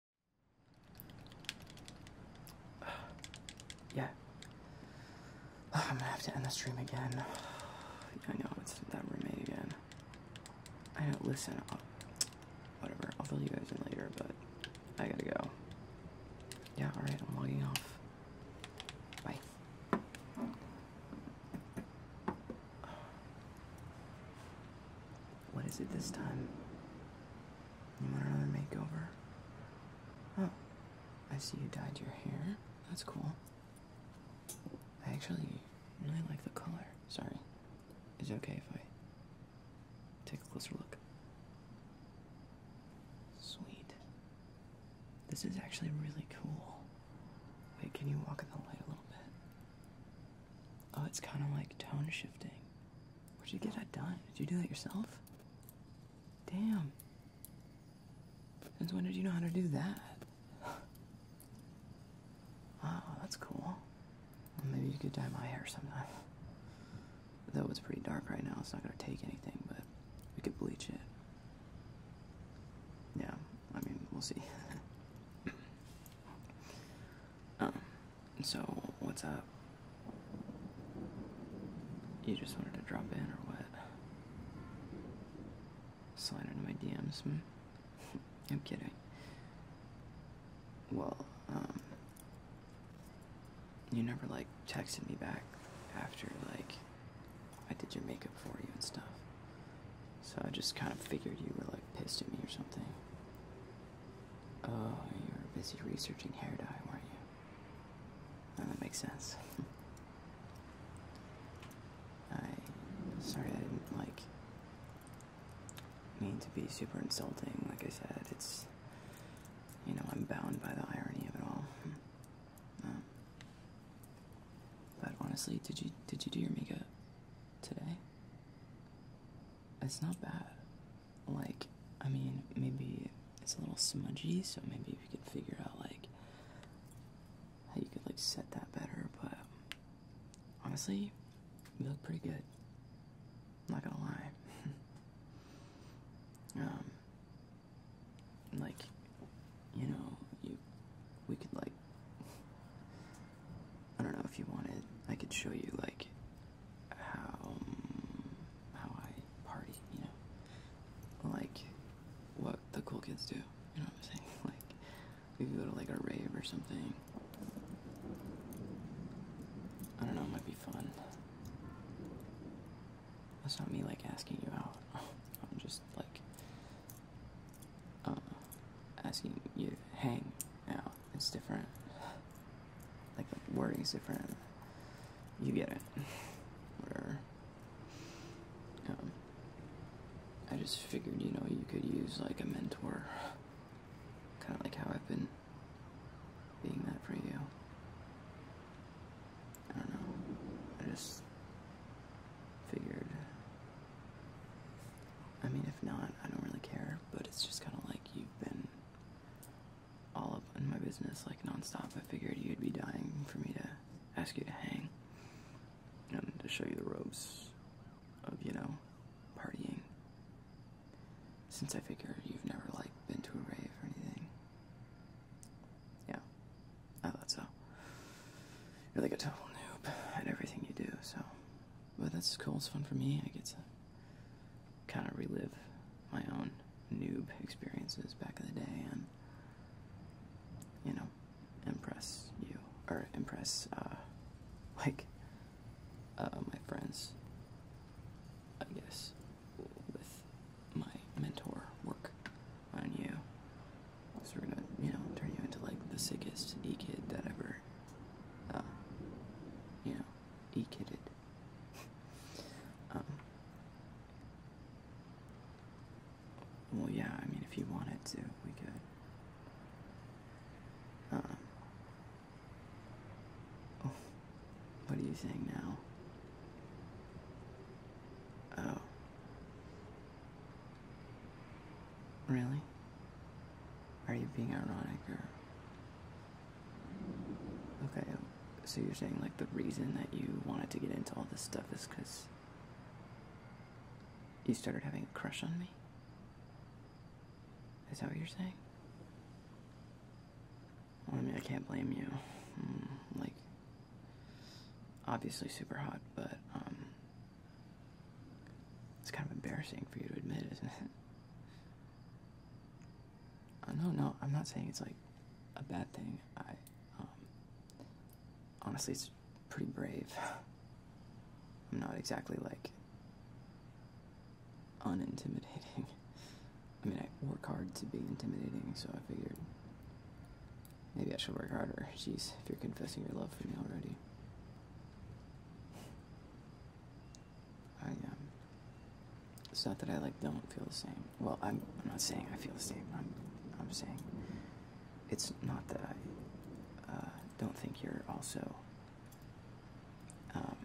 Yeah. I'm gonna have to end the stream again. I know, it's that roommate again. I know, listen, I'll, whatever, I'll fill you guys in later, but I gotta go. Yeah, alright, I'm logging off. Bye. What is it this time? You want another makeover? Oh, I see you dyed your hair. That's cool. I actually really like the color. Sorry. Is it okay if I take a closer look? Sweet. This is actually really cool. Wait, can you walk in the light a little bit? Oh, it's kind of like tone shifting. Where'd you get that done? Did you do that yourself? Damn. Since when did you know how to do that? Oh, that's cool. Well, maybe you could dye my hair sometime. Though it's pretty dark right now, it's not gonna take anything, but we could bleach it. Yeah, I mean, we'll see. Um, so what's up? You just wanted to drop in or what? Slide into my DMs? Hmm? I'm kidding. Well, um, you never like texted me back after like I did your makeup for you and stuff. So I just kind of figured you were like pissed at me or something. Oh, you were busy researching hair dye, weren't you? Oh, that makes sense. I... sorry I didn't, like... mean to be super insulting, like I said. It's... you know, I'm bound by the irony of it all. Um, but honestly, did you, did you do your makeup today? It's not bad like, I mean, maybe it's a little smudgy, so maybe we could figure out, like, how you could, like, set that better, but honestly, you look pretty good. not gonna lie. um, like, you know, you, we could, like, I don't know if you wanted, I could show you, like, how how I party, you know, like what the cool kids do. You know what I'm saying? Like we could go to like a rave or something. I don't know. It might be fun. That's not me like asking you out. I'm just like uh, asking you hang out it's different. Like the wording's different. You get it. Whatever. Um, I just figured, you know, you could use like a mentor. Kind of like how I've been being that for you. I don't know. I just figured. I mean, if not, I don't really care, but it's just kind of like you've been all of my business like nonstop. I figured you'd be dying for me to ask you to hang and to show you the ropes of, you know, partying. Since I figure you've never like been to a rave or anything. Yeah. I thought so. You're like a total noob at everything you do, so but that's cool, it's fun for me. I get to kind of relive my own noob experiences back in the day and, you know, impress you. Or impress, uh, like, uh, my friends, I guess, with my mentor work on you. So we're gonna, you know, turn you into like the sickest e kid that ever, uh, you know, e kidded. Um, well, yeah, I mean, if you wanted to, we could. Um, oh, what are you saying now? Oh. Really? Are you being ironic or Okay, um, so you're saying like the reason that you wanted to get into all this stuff is because you started having a crush on me? Is that what you're saying? I mean, I can't blame you. Mm, like, obviously super hot, but, um, it's kind of embarrassing for you to admit, isn't it? Uh, no, no, I'm not saying it's like a bad thing. I, um, honestly, it's pretty brave. I'm not exactly like unintimidating. I mean, I work hard to be intimidating, so I figured maybe I should work harder. Jeez, if you're confessing your love for me already. Um, it's not that I like don't feel the same. Well, I'm not saying I feel the same. I'm I'm saying it's not that I uh, don't think you're also um,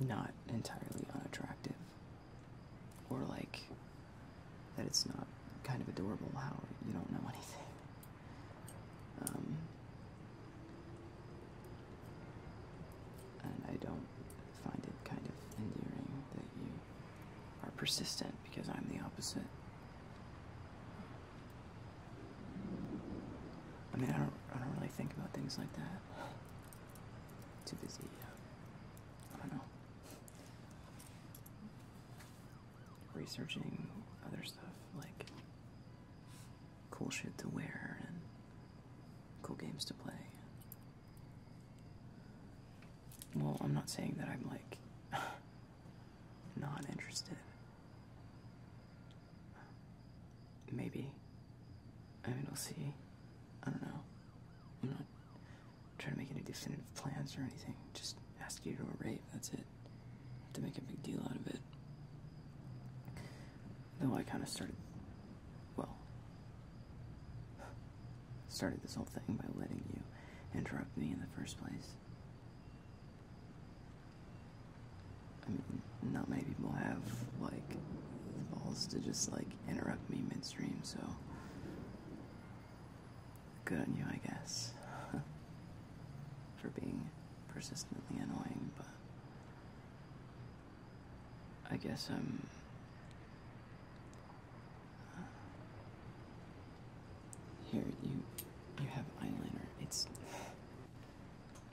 not entirely unattractive or like that it's not kind of adorable how you don't know anything. Um, and I don't find it kind of endearing that you are persistent because I'm the opposite. I mean, I don't, I don't really think about things like that. Too busy. I don't know. Researching other stuff like cool shit to wear and cool games to play. Well, I'm not saying that I'm like not interested. Maybe. I mean, we'll see. I don't know. I'm not trying to make any definitive plans or anything. Just ask you to a rape, that's it. Have to make a big deal out of it. Though I kind of started, well, started this whole thing by letting you interrupt me in the first place. I mean, not many people have, like, the balls to just, like, interrupt me midstream, so. Good on you, I guess. For being persistently annoying, but I guess I'm. Uh, here, you, you have eyeliner. It's.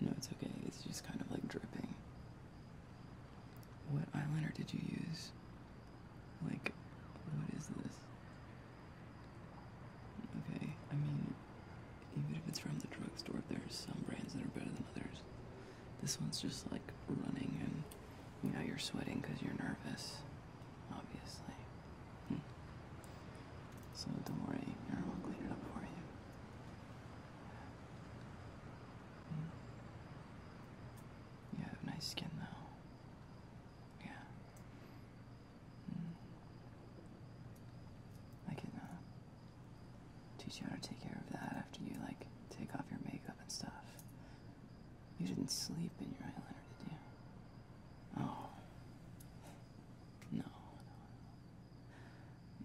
No, it's okay. It's just kind of like dripping. What eyeliner did you use? Like, what is this? Okay, I mean, even if it's from the drugstore, there are some brands that are better than others. This one's just like running, and you know you're sweating because you're nervous, obviously. Hmm. So don't worry, Aaron will clean it up for you. Hmm. You have nice skin though. Yeah. Mm. I can teach you how to take care of that after you like take off your makeup and stuff. You didn't sleep in your eyeliner, did you? Oh. No,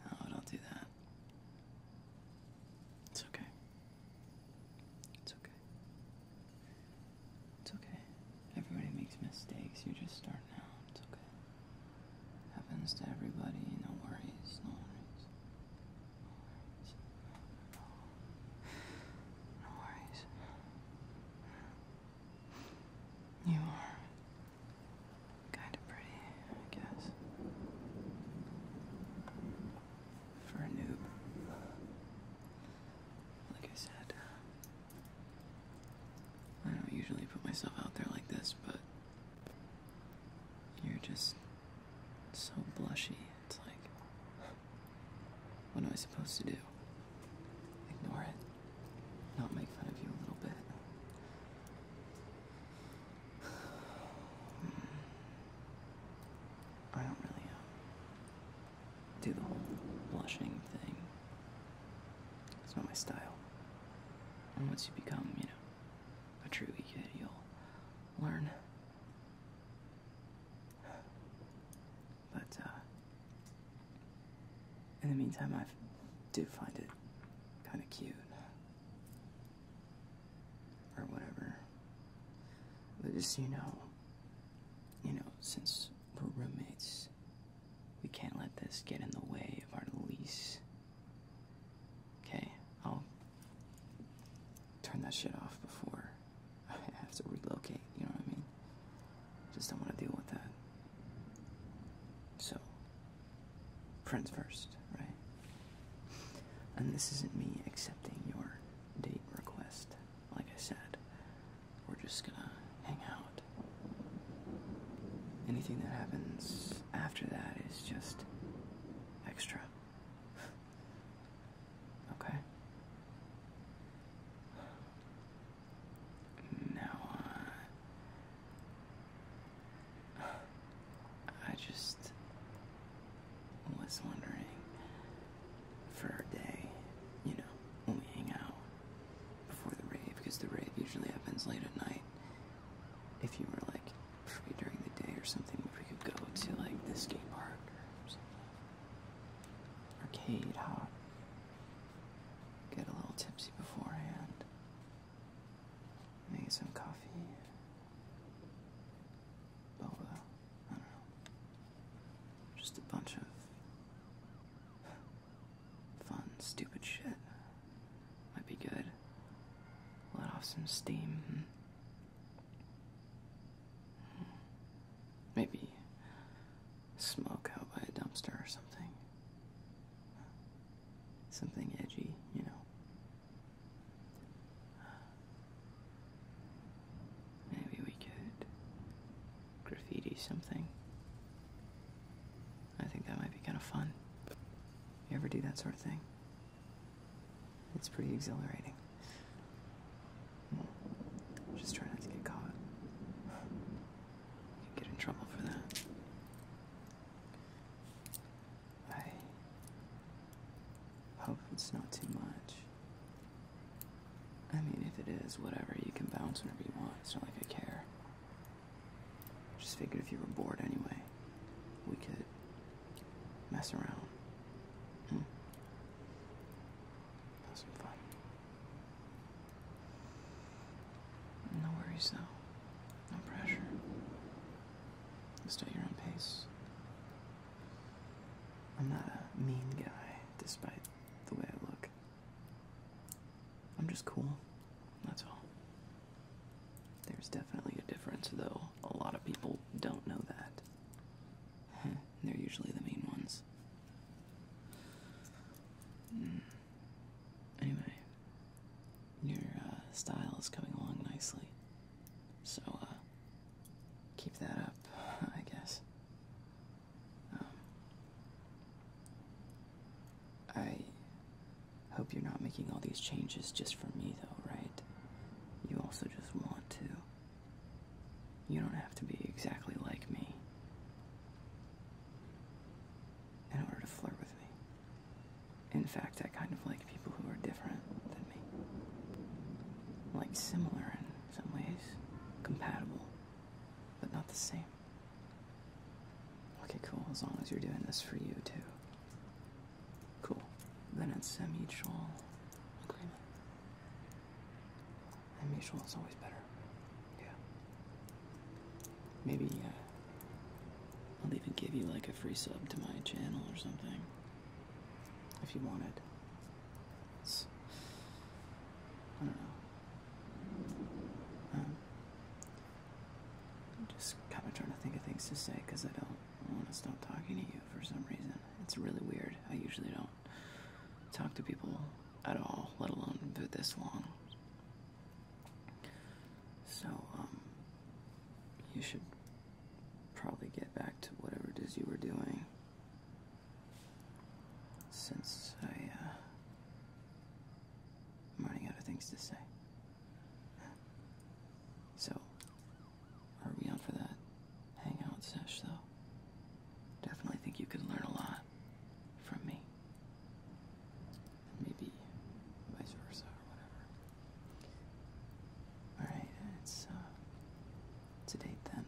no, no. don't do that. It's okay. It's okay. It's okay. Everybody makes mistakes. You're just starting out. It's okay. Happens to everybody, no worries, no worries. No worries. You are kind of pretty, I guess. For a noob. Like I said, I don't usually put myself out there like this, but you're just it's so blushy. It's like, what am I supposed to do? Ignore it. Not make fun of you a little bit. I don't really uh, do the whole blushing thing. It's not my style. And once you become, you know, but true you'll learn. But uh, in the meantime, I do find it kind of cute, or whatever. But just you know, you know, since we're roommates, we can't let this get in the way of our lease Okay, I'll turn that shit off before I have to relocate, you know what I mean? Just don't want to deal with that. So, friends first, right? And this isn't me accepting your date request. Like I said, we're just gonna hang out. Anything that happens after that is just extra. Okay. Now, uh, I just was wondering for our day, you know, when we hang out before the rave, because the rave usually happens late at night. If you were like free during the day or something, if we could go to like the skate park or something. Arcade hop. Get a little tipsy beforehand. Maybe some coffee. Boba. I don't know. Just a bunch of fun, stupid shit. Might be good. Let off some steam. Hmm. Maybe smoke out by a dumpster or something. Something edgy, you know. Maybe we could graffiti something. I think that might be kind of fun. You ever do that sort of thing? It's pretty exhilarating. Just trying not to get caught. You get in trouble for that. I hope it's not too much. I mean, if it is, whatever, you can bounce whenever you want. It's not like I care. Just figured if you were bored anyway, we could mess around. Hmm. Have some fun. No worries though. No pressure. Just at your own pace. I'm not a mean guy, despite the way I look. I'm just cool. That's all. There's definitely a difference, though. A lot of people don't know that. Hmm, they're usually the mean ones. Mm. Anyway, your uh, style is coming along nicely. So, uh, keep that up, I guess. Um, I Hope you're not making all these changes just for me, though, right? You also just want to. You don't have to be exactly like me in order to flirt with me. In fact, I kind of like people who are different than me. Like similar in some ways, compatible, but not the same. Okay, cool, as long as you're doing this for you too. Cool. Then it's a mutual agreement. And mutual is always better. Yeah. Maybe, uh, I'll even give you like a free sub to my channel or something. If you wanted. It's. I don't know. Um, I'm just kind of trying to think of things to say because I don't I want to stop talking to you for some reason. It's really weird. I usually don't talk to people at all, let alone for this long. So, um, you should probably get back to whatever it is you were doing. Since uh, I'm running out of things to say. So, are we on for that hangout sesh, though? Definitely think you can learn a lot from me. And maybe vice versa or whatever. Alright, it's, uh, it's date then.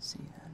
See you then.